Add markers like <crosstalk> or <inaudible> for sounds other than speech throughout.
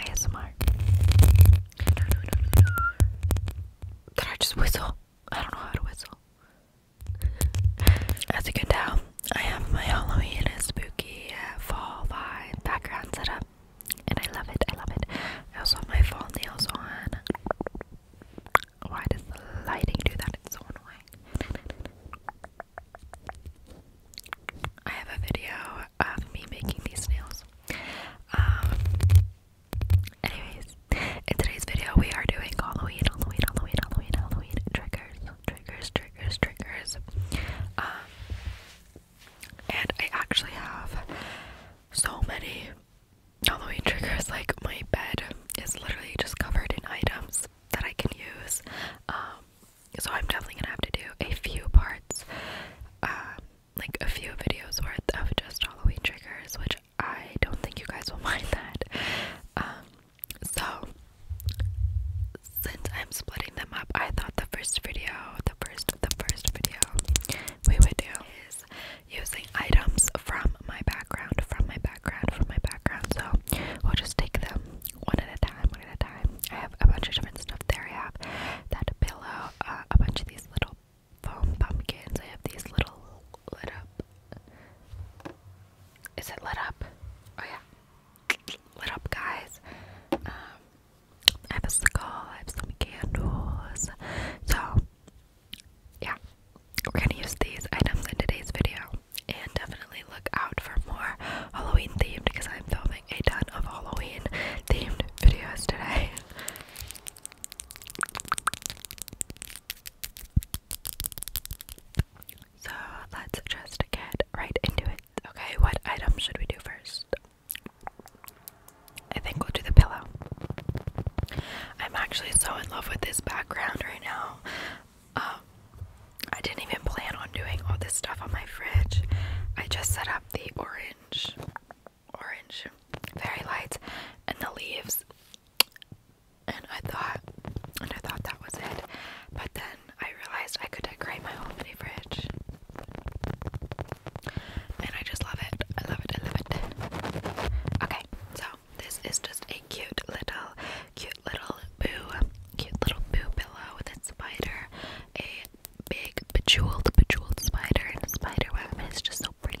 ASMR. Did I just whistle? I don't know how to whistle. As you can tell, I have my Halloween and spooky uh, fall vibe background set up, and I love it. I love it. I also have my fall nails on. Why does the lighting do that? It's so annoying. I have a video of me making these nails. Um, anyways, in today's video, we are doing Halloween, Halloween, Halloween, Halloween, Halloween triggers, triggers, triggers, triggers. Um, and I actually have so many Halloween triggers. Like my bed is literally just covered in items that I can use. Um, so I'm definitely gonna have to do a few parts, um, like a few videos worth of just Halloween triggers, which I don't think you guys will <laughs> mind that. Um, so since I'm splitting them up, I thought the first video, the first, the first video we would do is using items from my background, from my background, from my background. So we'll just take them one at a time, at a time. I have a bunch of different stuff there. I have that pillow, uh, a bunch of these little foam pumpkins. I have these little lit up. Is it lit up? Oh yeah, lit up guys. Um, I have a skull. I have some candles. So yeah, we're gonna use these items in today's video, and definitely look out for more Halloween themed because I'm filming a ton of Halloween themed videos today. <laughs> So let's just get right into it. Okay, what item should we do first? I think we'll do the pillow. I'm actually so in love with this background right now. Um, I didn't even plan on doing all this stuff on my fridge. I just set up the orange orange, very light, and the leaves. And I thought, and I thought that was it, but then I realized I could decorate my whole mini fridge, and I just love it. I love it. I love it. Okay, so this is just a cute little, cute little boo, cute little boo pillow with a spider, big bejeweled, bejeweled spider and a spider web. It's just so pretty.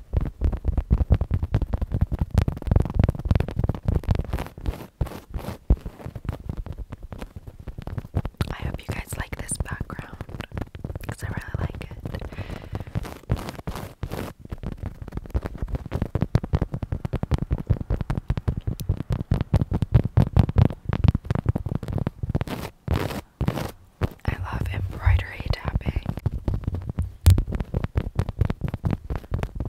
I hope you guys like this background because I really like it. I love embroidery tapping.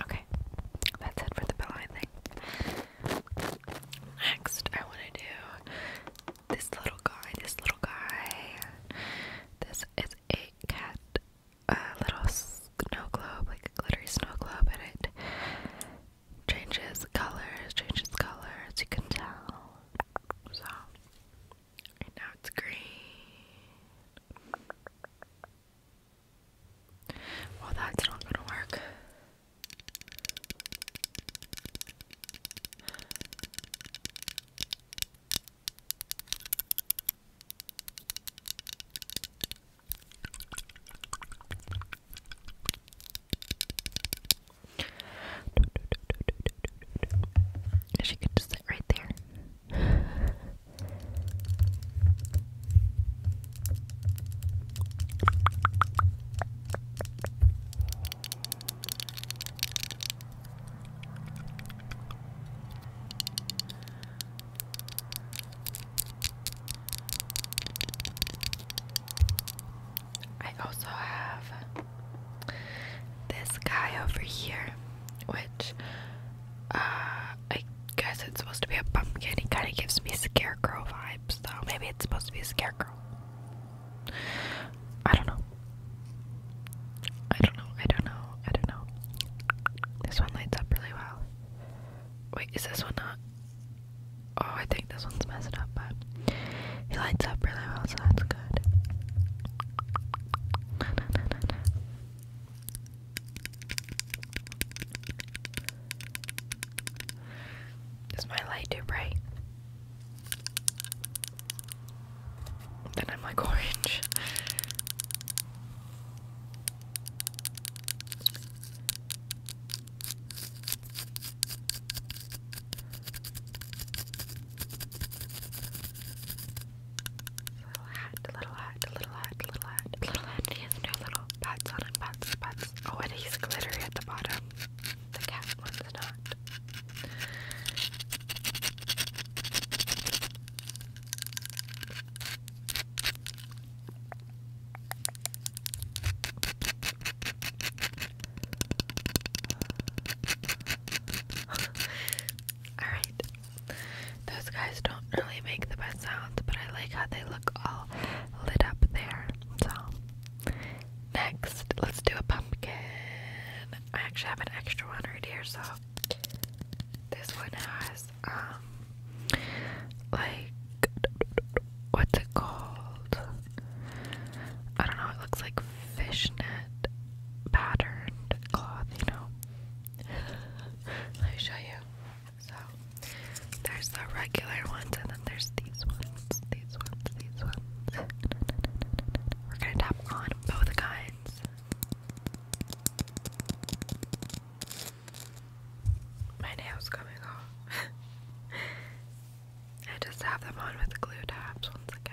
Okay, that's it for the pillow, I Next, I want to do this little guy. This little guy. This is a cat, a little snow globe, like a glittery snow globe, and it changes colors, changes colors, you can tell. So now it's green. Well, that's not gonna work. She could just sit right there. I also have this guy over here, which uh, I guess it's supposed to be a pumpkin. He kind of gives me scarecrow vibes, though. Maybe it's supposed to be a scarecrow. I don't know. I don't know. I don't know. I don't know. This one lights up really well. Wait, is this one not? Oh, I think this one's messed up, but he lights up really well, so that's good. Is my light too bright? Then I'm like orange. Little hat, little hat, little hat, little hat, little hat. And he has no little pads on him, pads, pads. Oh, and he's glittery at the bottom. The cat one's not. <sighs> Alright. Those guys don't really make the best sounds, but I like how they look all lit up there. So, next, let's do a pumpkin. I actually have an extra one right here, so this one has, um, like what's it called? I don't know, it looks like fishnet patterned cloth, you know. <laughs> Let me show you. So there's the regular ones and then there's these ones, these ones, these ones. We're gonna tap on both kinds. My nail's coming off. <laughs> I just have them on with glue tabs once again.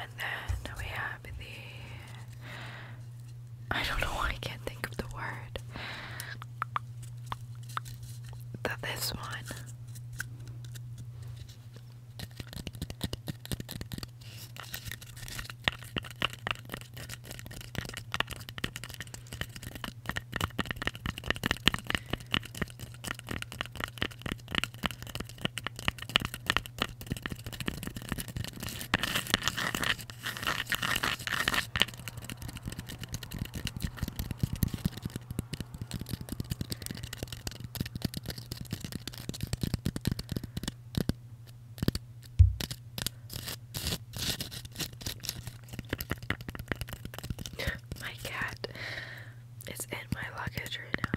And then we have the I don't know why I can't think of the word. that this one. My cat it's in my luggage right now.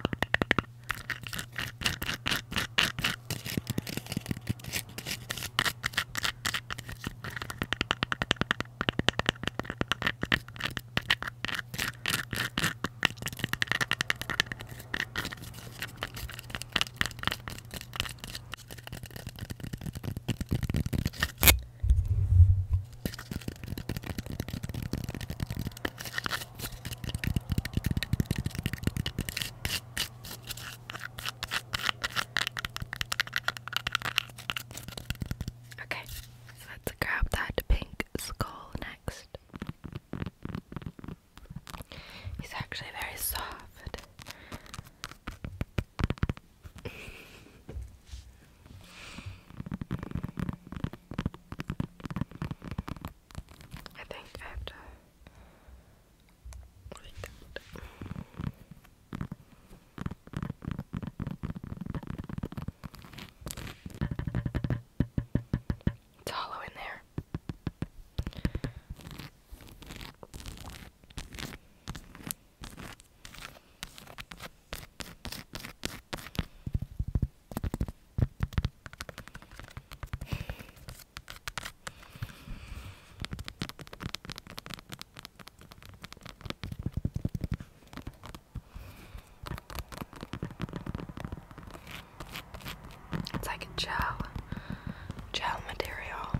Okay, let's grab that pink skull next. He's actually very soft. I think I have to It's hollow in there. It's like a gel, gel material.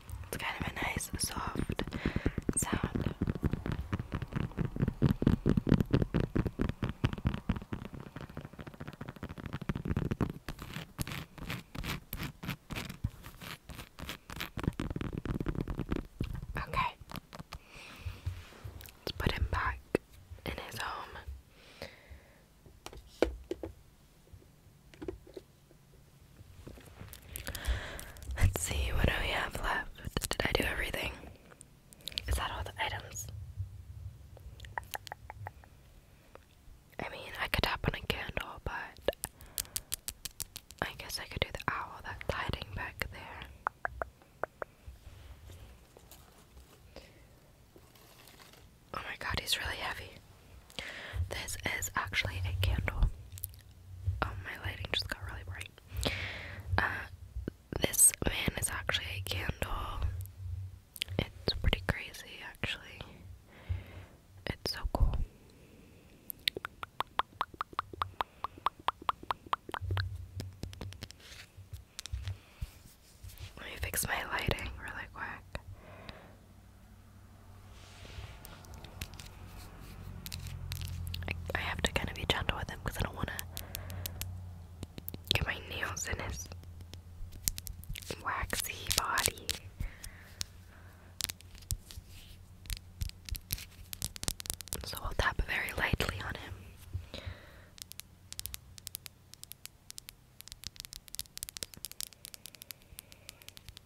It's kind of a nice, soft sound. Okay, let's put him back in his home. Let's see, what do we have left? Did I do everything? Is that all the items? I mean, I could tap on a candle, but I guess I could do the owl that's hiding back there. Oh my god, he's really heavy. This is actually a candle. Oh, my lighting just got really bright. Uh, this man is actually a candle. It's pretty crazy, actually. It's so cool. Let me fix my lighting really quick. I, have to kind of be gentle with him because I don't want to get my nails in his waxy body. So I'll tap very lightly on him.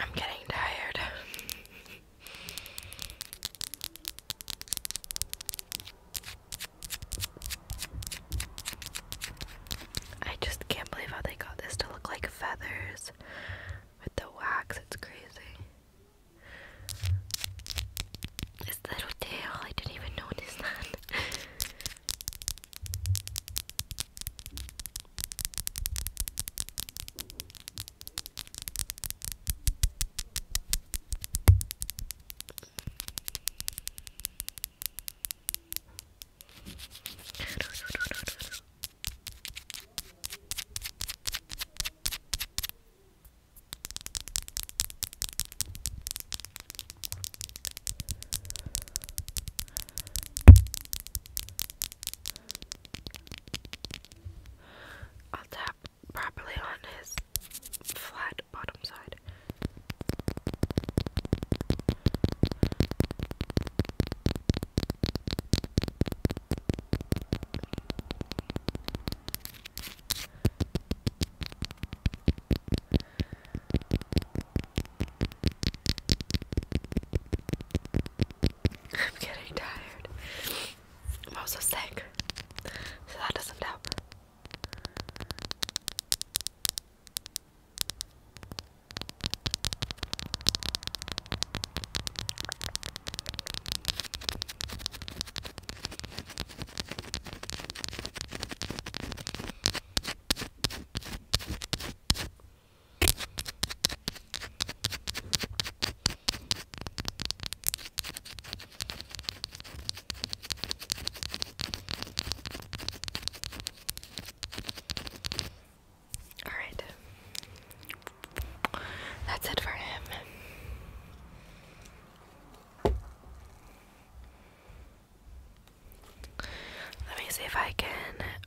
I'm getting tired. I just can't believe how they got this to look like feathers with the wax. It's crazy. This little tail, I didn't even notice that. I'll tap properly on his flat bottom side. I'm getting tired. I'm also sick, so that doesn't help. All right. That's it for him. Let me see if I can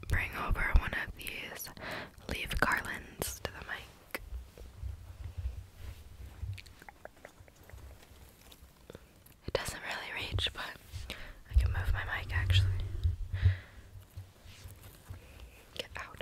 bring over one of these leaf garlands to the mic. It doesn't really reach, but I can move my mic actually. Get out.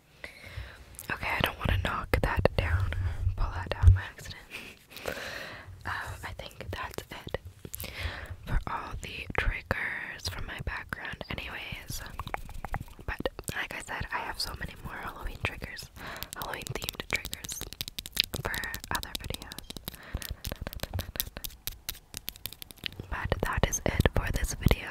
Okay, I don't want to knock that down, pull that down by accident. <laughs> Um, I think that's it for all the triggers from my background, anyways. But like I said, I have so many more Halloween triggers, Halloween themed triggers for other videos. But that is it for this video.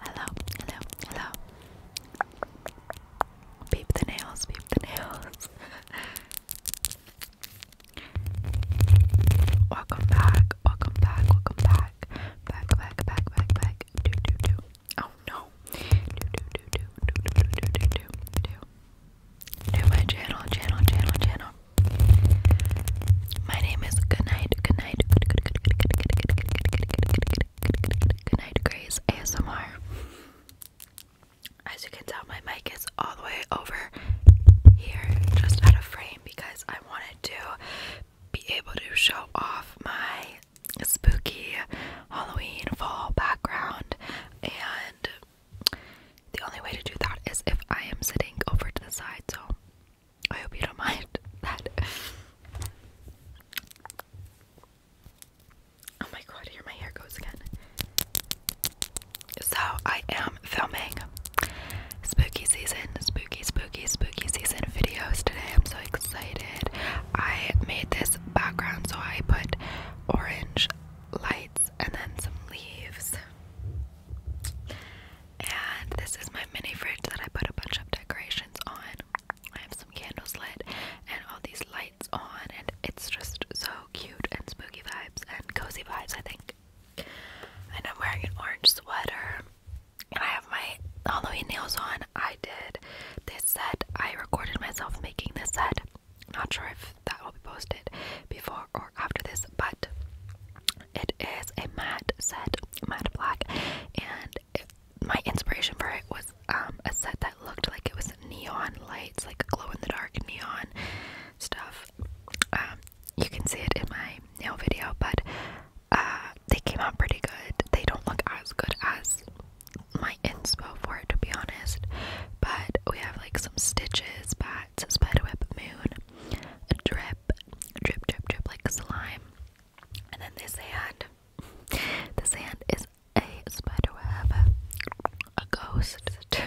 Hello, hello, hello. Peep the nails, peep the nails. welcome back, welcome back, welcome back. Back, back, back, back, back. Do, do, do. Oh no. Do, do, do, do, do, do, do, do, do, do. Do my channel, channel, channel, channel. My name is Goodnight, Goodnight, Good, Good, Good, Good, Good, Good, Good, Good, Good, Good, Good, Good, Good, Good night, Grace ASMR. As you can tell, my mic is all the way over here, just out of frame, because I wanted to be able to show off my spooky Halloween fall background. And the only way to do that is if I am sitting over to the side, so I hope you don't <laughs> mind that. Oh my god, here my hair goes again. So, I am filming spooky season, spooky, spooky, spooky season videos today. I'm so excited. I made this background, so I put orange lights and then some leaves. And this is my mini fridge that I put a bunch of decorations on. I have some candles lit and all these lights on, and it's just so cute and spooky vibes and cozy vibes, I think. And I'm wearing an orange sweater, and I have my Halloween nails on. I did this set, I recorded myself making this set. Not sure if that will be posted before or after this, but it is a matte set, matte black, and my inspiration for it was um, a set that looked like it was neon lights, like glow in the dark neon stuff. Um, you can see it in my nail video, but uh, they came out pretty good. They don't look as good as my inspo for it, to be honest. But we have like some stitches, bats, spiderweb, moon, a drip, drip, drip, drip, like slime, and then this hand. The sand is a spiderweb, a ghost, <laughs>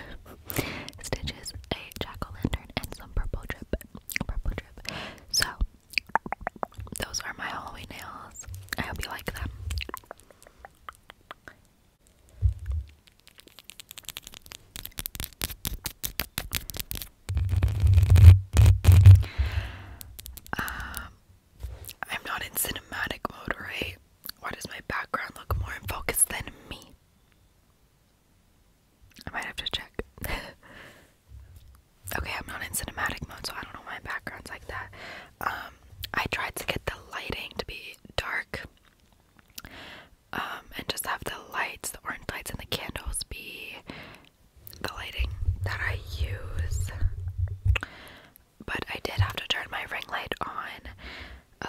stitches, a jack-o'-lantern, and some purple drip. Purple drip. So, those are my Halloween nails. I hope you like them. Um, I'm not in cinematic mode, right? Why does my background look more in focus than me? I might have to check. <laughs> okay, I'm not in cinematic mode, so I don't know why my background's like that. Um, I tried to get the lighting to be dark. Um, and just have the lights, the orange lights and the candles be the lighting that I use. But I did have to turn my ring light on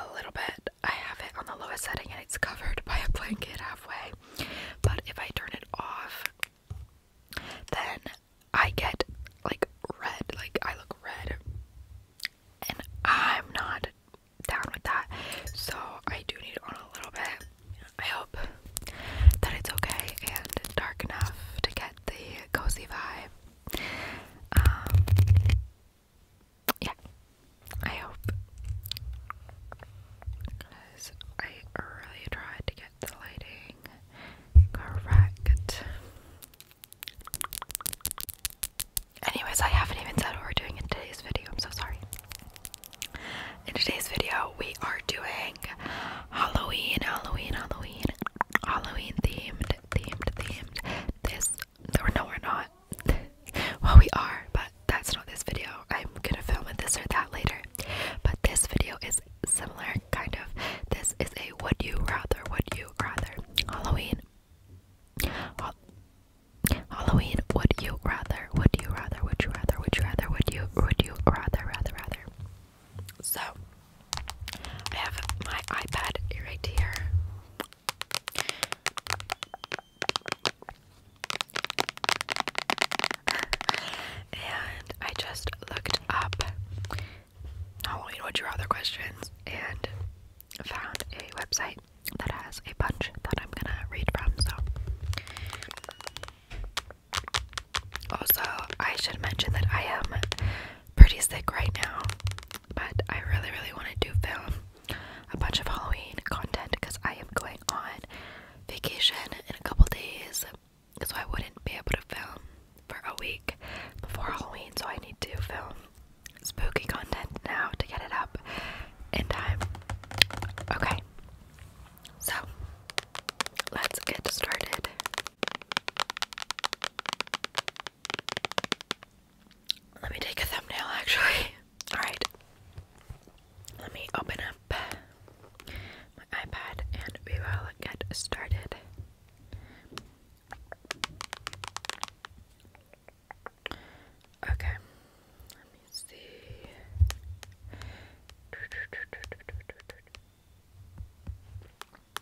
a little bit. I have it on the lowest setting and it's covered by a blanket halfway. But if I turn it off, then I get like red, like I look red. And I'm not down with that. So I do need it on a little bit. I hope that it's okay and dark enough to get the cozy vibe. Um, yeah, I hope. Because I really tried to get the lighting correct. Anyways, I haven't even said what we're doing in today's video. I'm so sorry. In today's video, we are doing like Halloween, Halloween, Halloween, Halloween themed, themed, themed. This, or no, we're not. <laughs> well, we are, but that's not this video. I'm gonna film a this or that later. But this video is similar, kind of. This is a would you rather, would you rather Halloween. Well, Halloween, would you rather, would you rather, would you rather, would you rather, would you, would you rather, rather, rather. So I have my iPad right here. <laughs> and I just looked up not only would you rather questions and found a website that has a bunch that I'm gonna read from so also, I should mention that I am pretty sick right now, but I really, really want to do film a bunch of Halloween content because I am going on vacation in a couple days, so I wouldn't be able to film for a week before Halloween, so I need to film spooky content now to get it up in time. Okay, so let's get started. Let me take a thumbnail actually. <laughs> Alright. Let me open up my iPad and we will get started. Okay. Let me see.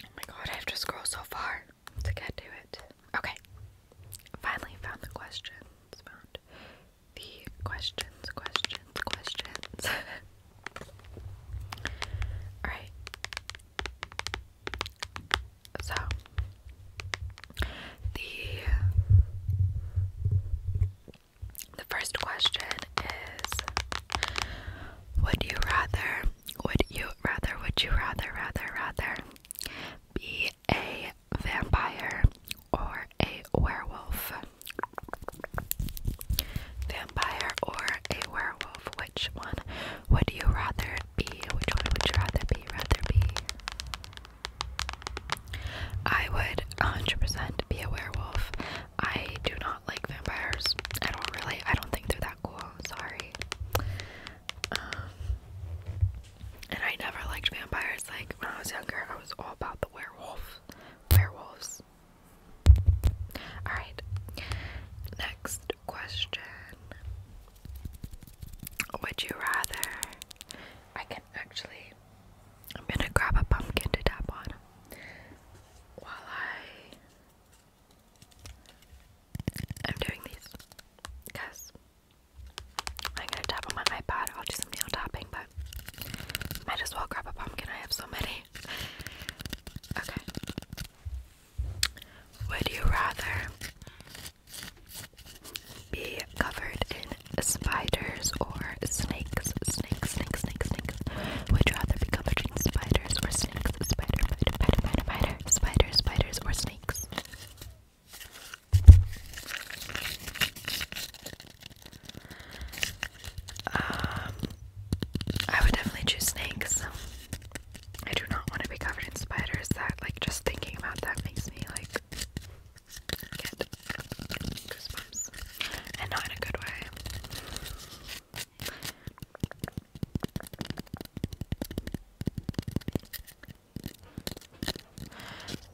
Oh my god, I have to scroll so far to get to it. Okay. Finally found the questions. Found the questions, questions, questions. <laughs> Alright. So the the first question is Would you rather, would you rather, would you rather, rather, rather be a vampire or a werewolf? Vampire or a werewolf? Which one would you rather be? Which one would you rather be? Rather be? I would 100% be a werewolf. I do not like vampires. I don't really. I don't think they're that cool. Sorry. Um, and I never liked vampires. Like when I was younger, I was all about the werewolf, werewolves. All right. Next question. Would you rather? I can actually. I'm gonna grab a pumpkin to tap on while I I'm doing these because I'm gonna tap on my iPod. I'll do some nail tapping, but might as well grab a pumpkin. I have so many. Okay. Would you rather be covered in spiders or snakes? Snakes, snakes, snakes, snakes. Would you rather be covered in spiders or spider, spider, spider, spider, spider, spiders, or snakes. Um, I would definitely choose snakes. I do not want to be covered in spiders. That, like, just thinking about that makes me like get goosebumps, and not in a good way.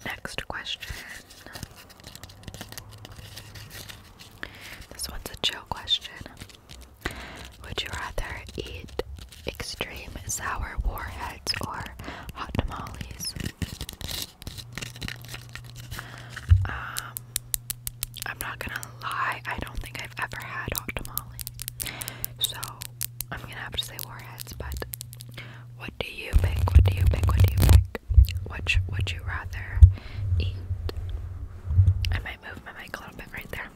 Next question. This one's a chill question. Would you rather eat extreme sour warheads or hot tamales? Um, I'm not gonna lie, I don't think I've ever had hot tamale. So I'm gonna have to say warheads, but what do you pick? What do you pick? What do you pick? Which would you rather eat? I might move my mic a little bit right there.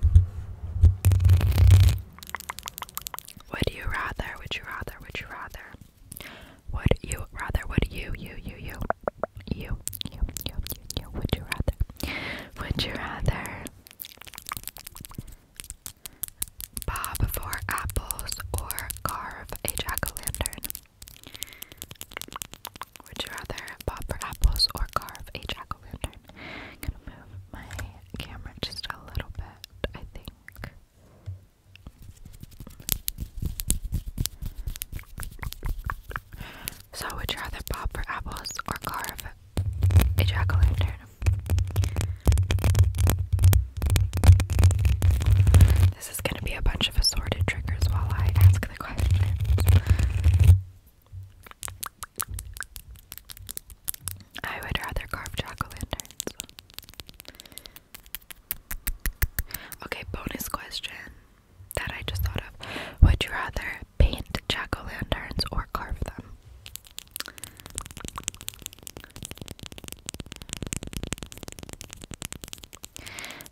Would you rather? Would you rather? Would you rather? Would you rather? Would you, you, you, you? You, you, you, you, you. Would you rather? Would you rather bob for apples or carve a jack-o'-lantern? Would you rather bob for apples or carve a jack-o'-lantern? gonna move my camera just a little bit, I think. So I would rather pop for apples or carve a jack o' lantern. This is gonna be a bunch of assorted triggers while I ask the questions. I would rather carve jack o' lanterns. Okay, bonus question that I just thought of. Would you rather paint jack o' lanterns or carve them?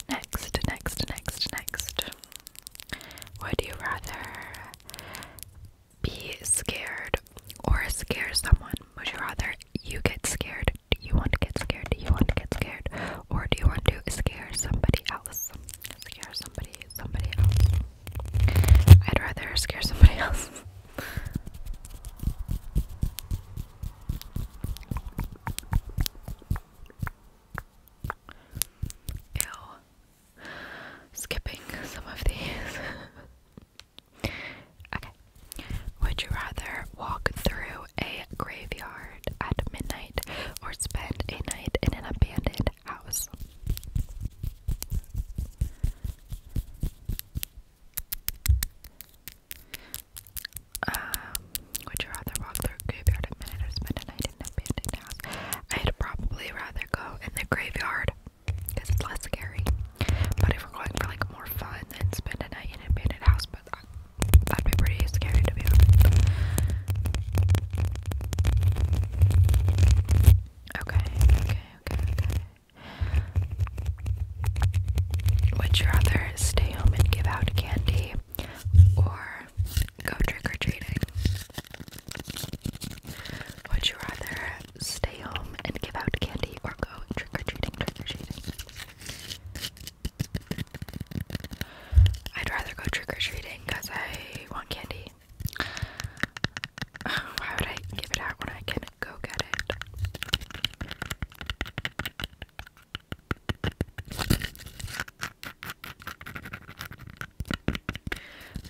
Next, next, next, next. Would you rather be scared or scare someone? Would you rather you get scared? Do you want to get scared? Do you want to get scared? Or do you want to scare somebody I'd rather scare somebody <laughs> else. Ew. Skipping some of these. <laughs> okay. Would you rather walk through a graveyard? at midnight or spend a night in an abandoned house. Um, would you rather walk through a graveyard at midnight or spend a night in an abandoned house? I'd probably rather go in the graveyard because it's less scary. But if we're going for like more fun, then spend a night in an abandoned house. But uh, that'd be pretty scary to be honest. Okay, okay, okay, okay. Would you rather stay home and give out candy or go trick or treating? Would you rather stay home and give out candy or go trick or treating, trick or treating? I'd rather go trick or treating because I want candy. <sighs> Why would I give it out when I can go get it?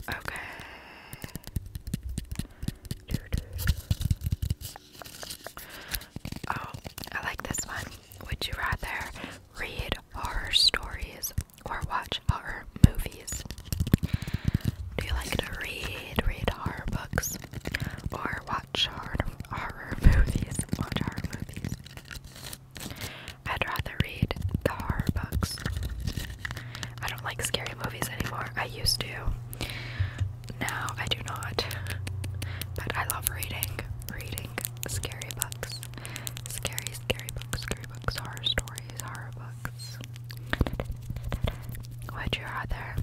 Okay. Oh, I like this one. Would you rather read horror stories or watch horror movies? Do you like to read, read horror books, or watch horror, horror movies? Watch horror movies. I'd rather read the horror books. I don't like scary movies anymore. I used to. Now I do not. But I love reading, reading scary books. Scary, scary books, scary books, horror stories, horror books. Would you rather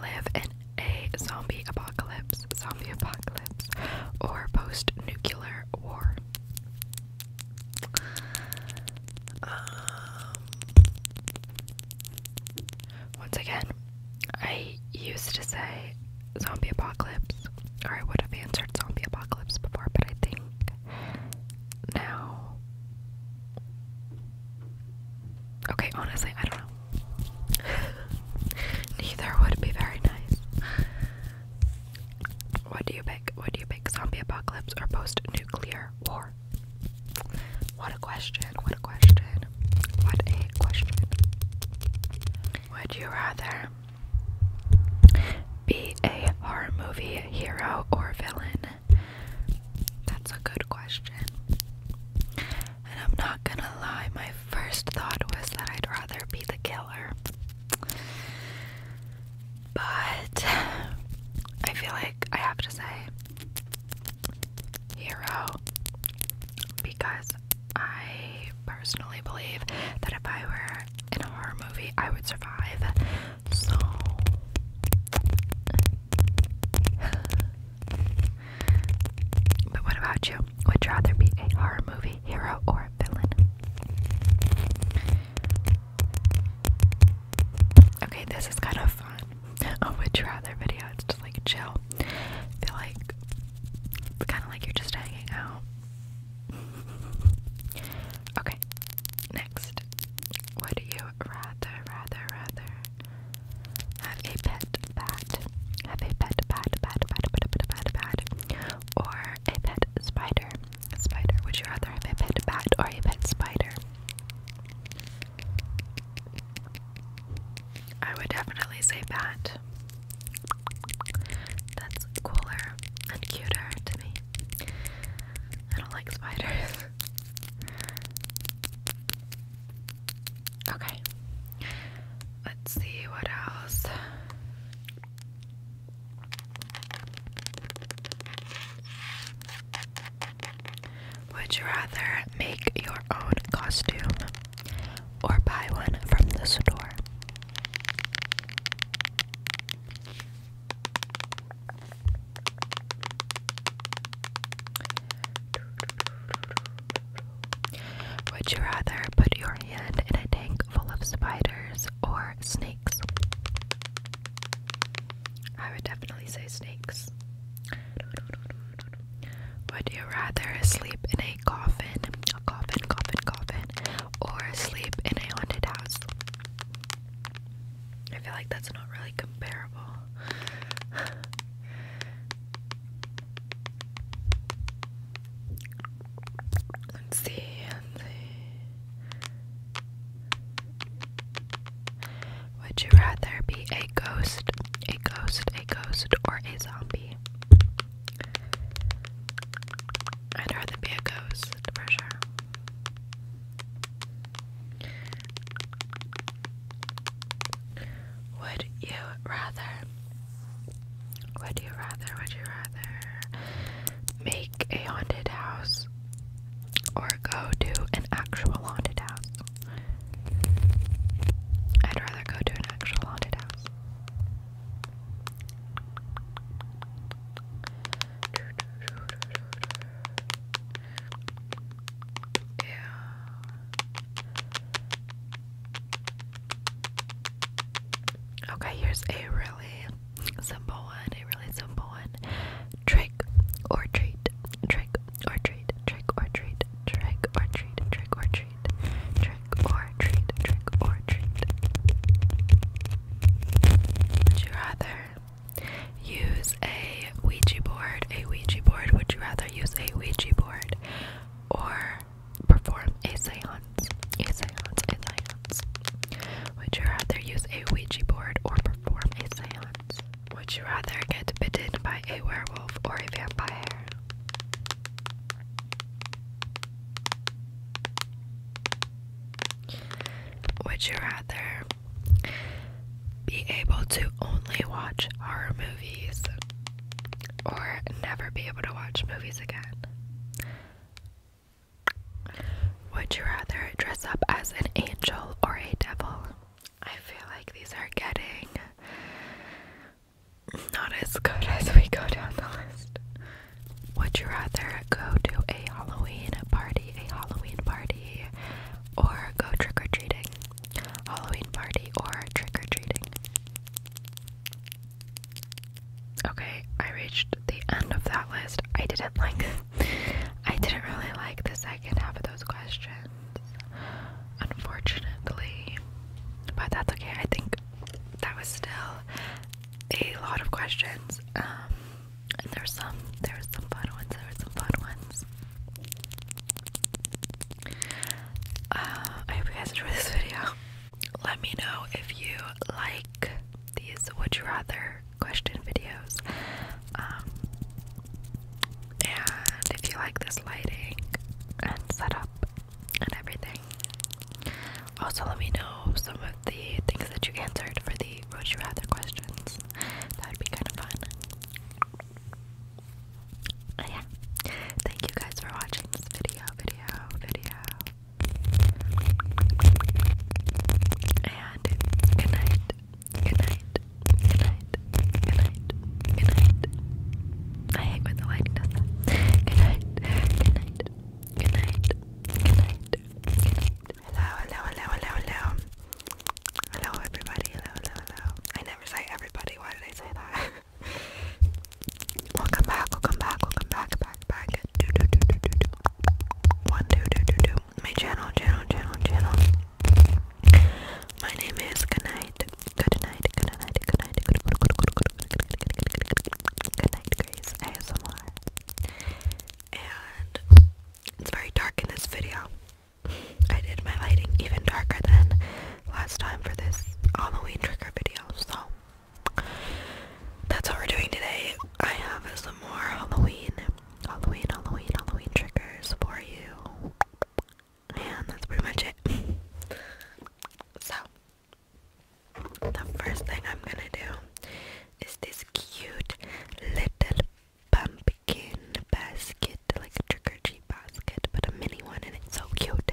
live in a zombie apocalypse, zombie apocalypse, or post nuclear war? Um, once again, I used to say zombie apocalypse, or I would have answered zombie apocalypse before, but I think now. Okay, honestly, I don't know. <laughs> Neither would be very nice. What do you pick? What do you pick? Zombie apocalypse or post nuclear war? What a question. What a question. What a question. Would you rather be a horror movie hero or villain? That's a good question. And I'm not gonna lie, my first thought was that I'd rather be the killer. But I feel like I have to say hero because I personally believe that if I were in a horror movie, I would survive. So, but what about you? Would you rather be a horror movie hero or villain? Okay, this is kind of fun. <laughs> Oh, would you rather video? It's just like chill. feel like it's kind of like you're just hanging out okay, next. Would you rather, rather, rather have a pet bat? Have a pet bat, bat, bat, bat, bat, bat, bat, or a pet spider? Spider. Would you rather have a pet bat or a pet spider? I would definitely say bat. That's cooler and cuter to me. I don't like spiders. okay. Let's see what else. Would you rather make your own costume or buy one from the store? Would you rather put your hand in a tank full of spiders or snakes? I would definitely say snakes. Would you rather sleep in a coffin, a coffin, coffin, coffin, or sleep in a haunted house. I feel like that's not really comparable. <sighs> let's see. Would you rather be a ghost, a ghost, a ghost, or a zombie? I'd rather be a ghost for sure. Would you rather? Would you rather? Would you rather make a haunted house or go to an actual haunted house? I'd rather go to an actual haunted house. Okay, here's a really simple one, a really simple one. Trick or treat, trick or treat, trick or treat, trick or treat, trick or treat, trick or treat, trick or treat, trick or treat. Would you rather use a Ouija board, a Ouija board? Would you rather use a Ouija board or perform a seance? A seance, a seance. Would you rather use a Ouija board or perform a seance? Would you rather get bitten by a werewolf or a vampire? Would you rather be able to only watch horror movies or never be able to watch movies again? Would you rather dress up as an angel or a devil? I feel like these are getting not as good as we go down the list. Would you rather go to a Halloween party, a Halloween party, or go trick or treating? Halloween party or trick or treating? Okay, I reached the end of that list. I didn't like. I didn't really like the second half of those questions, unfortunately. But that's okay. I think that was still a lot of questions. Um, and there's some, there's some fun ones, there's some fun ones. Uh, I hope you guys enjoy this video. Let me know if you like these would you rather question videos. Um, and if you like this lighting and setup and everything. Also, let me know some of the things that you answered for the Would You Rather questions. That would be kind of fun. But yeah, thank you guys for watching this video, video, video. And good night, good night, good night, good night, good night. I hate when the lighting does that. Good night, good night. Good night. Good night. Good night. Hello, hello, hello, hello, hello. Hello, everybody. Hello, hello, hello. I never say everybody. Why did I say that? welcome back. Welcome back. Welcome back. Back. Back. Do do do do do do. One do do do do. My channel. Channel. Channel. Channel. My name is Good night. Good night. Good night. Good night. Good night. Good night. Good night. Grace ASMR. And it's very dark in this video. I did my lighting even darker than last time for this Halloween trigger video, so that's what we're doing today. I have some more Halloween, Halloween, Halloween, Halloween triggers for you. And that's pretty much it. <laughs> so, the first thing I'm gonna do is this cute little pumpkin basket, like a trick or treat basket, but a mini one, and it's so cute.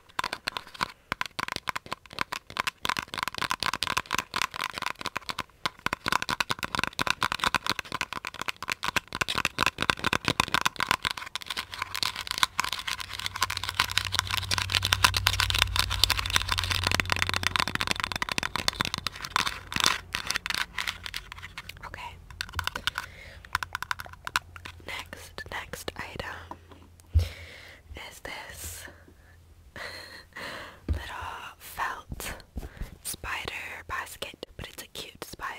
Okay. Next, next item is this <laughs> little felt spider basket, but it's a cute spider.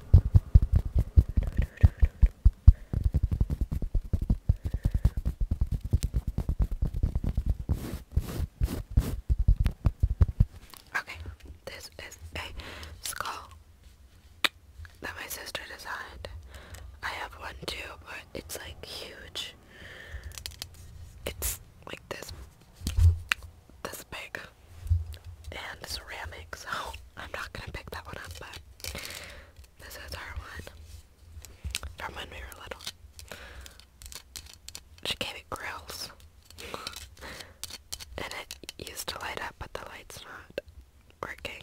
Okay, this is a skull that my sister designed. I have one too, but it's like huge. It's like this this big and ceramic, so <laughs> I'm not gonna pick that one up, but this is our one from when we were little. She gave it grills. <laughs> and it used to light up, but the light's not working.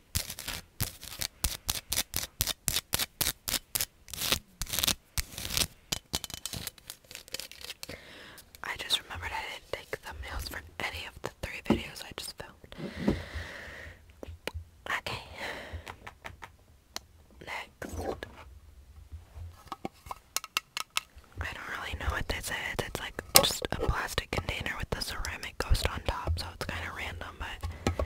I just remembered I didn't take thumbnails for any of the three videos I just filmed. Okay. Next. I don't really know what this is. It's like just a plastic container with the ceramic ghost on top, so it's kind of random, but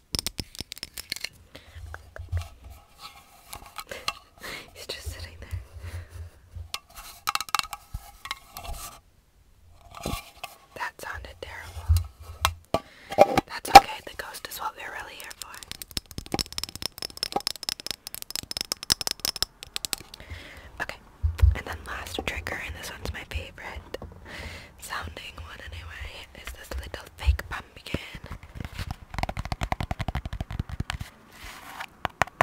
<laughs> He's just sitting there. That sounded terrible. That's okay, the ghost is what we're really here for. Okay, and then last trigger, and this one's my favorite sounding one anyway is this little fake pumpkin.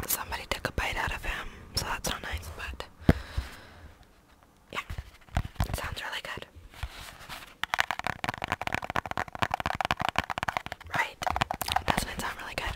Somebody took a bite out of him, so that's not nice, but yeah, it sounds really good. Right? Doesn't it sound really good?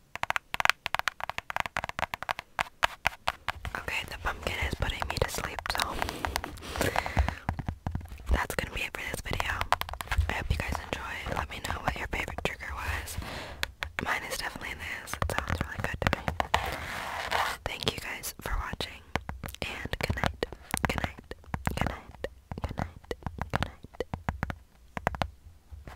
Okay, the pumpkin is putting me to sleep, so that's gonna be it for this video. I hope you guys enjoyed. Let me know what your favorite trigger was. Mine is definitely this. sounds really good Thank you guys for watching, and good night, good night, good night, good night, good night.